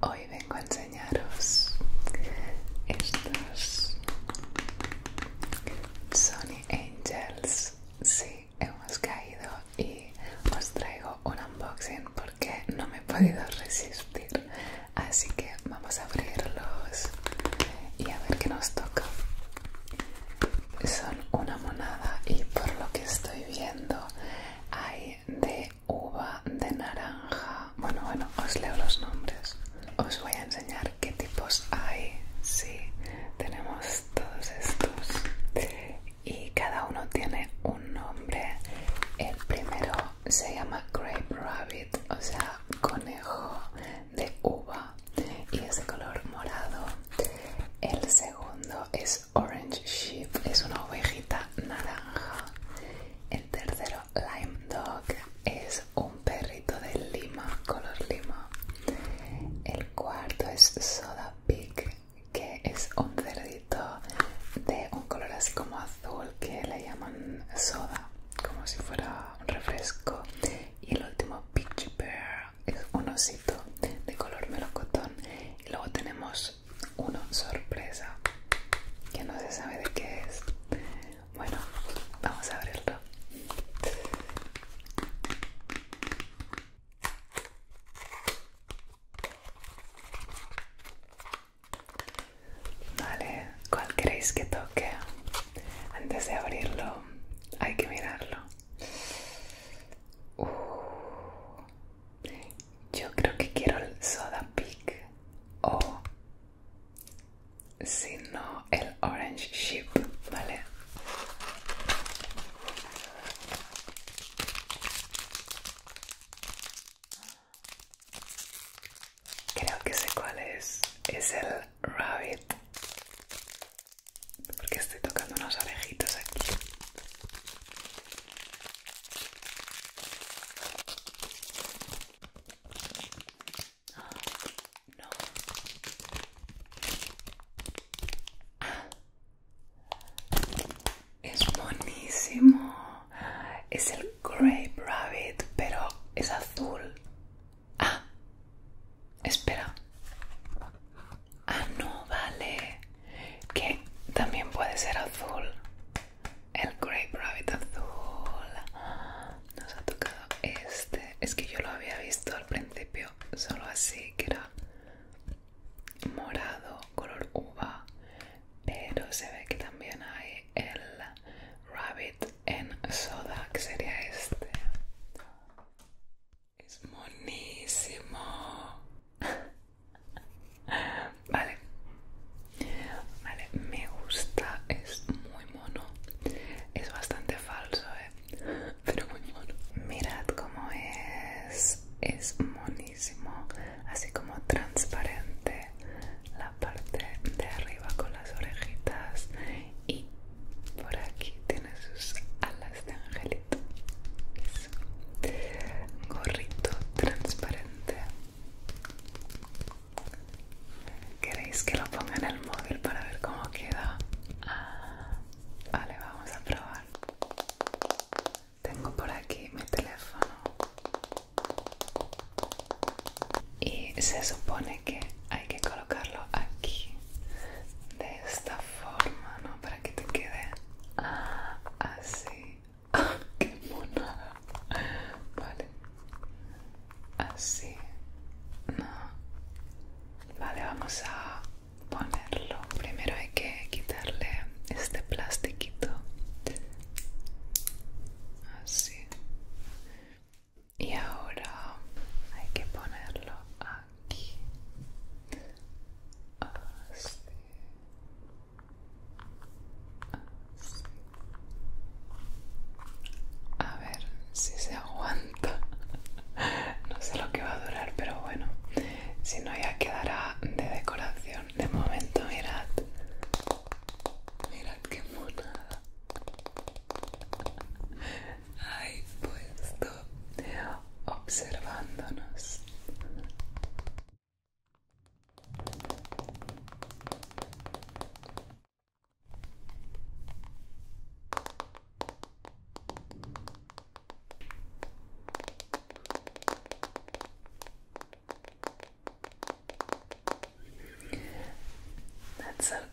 Hoy vengo a enseñaros estos Sony Angels. Sí, hemos caído y os traigo un unboxing porque no me he podido resistir. Así que vamos a abrirlos y a ver qué nos toca. Son una monada y por lo que estoy viendo hay de uva, de naranja. Bueno, bueno, os leo los nombres. Os voy a enseñar qué tipos hay. Sí, tenemos todos estos. Y cada uno tiene un nombre. El primero se llama Grape Rabbit, o sea, conejo de uva. Y es de color morado. El segundo es Orange Sheep, es una ovejita naranja. El tercero, Lime Dog, es un perrito de lima, color lima. El cuarto es Soda Pig, que es un cerdito de un color así como azul que le llaman soda, como si fuera un refresco. Y el último, Picture Bear, es un osito de color melocotón. Y luego tenemos una sorpresa que no se sabe de qué es. Bueno, vamos a abrirlo. Vale, ¿cuál queréis que toque? Antes de abrirlo hay que mirarlo. Uh, yo creo que quiero el Soda Peak o, si no, el Orange Ship, ¿vale? Creo que sé cuál es. Es el Rabbit. Porque estoy tocando unos orejitos aquí es buenísimo. Es el Grape Rabbit, pero es azul. Ah, espera. Ah, no, vale. Que también puede ser azul. El Grape Rabbit azul. Nos ha tocado este. Es que yo lo había visto al principio solo así, que era morado, color uva. Pero se ve que también hay el Rabbit en soda, que sería este. Es monísimo. vale. Vale, me gusta, es muy mono. Es bastante falso, eh. Pero muy mono. Mirad cómo es. Es monísimo. Así como transparente. La parte de arriba con las orejitas. Y por aquí tiene sus alas de ángel Gorrito. Gorrito transparente. ¿Queréis que lo ponga en el móvil para ver cómo queda? Ah, vale, vamos a probar. Tengo por aquí mi teléfono. Y se supone que hay que colocarlo aquí. De esta forma, ¿no? para que te quede así. Ah, ¡Qué monada! Vale. Así. No. Vale, vamos a ponerlo. Primero hay que quitarle este plastiquito. Así. Y ahora hay que ponerlo aquí así a ver si se aguanta no sé lo que va a durar pero bueno si no ya quedará de decoración de momento mirad mirad qué monada ahí puesto observándonos That's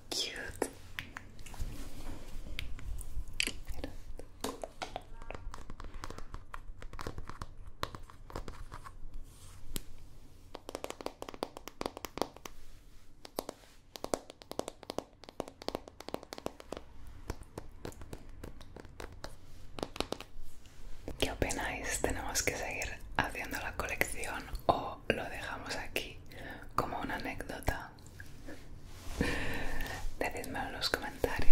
¿Qué opináis? ¿Tenemos que seguir haciendo la colección o lo dejamos aquí como una anécdota? Decídmelo en los comentarios.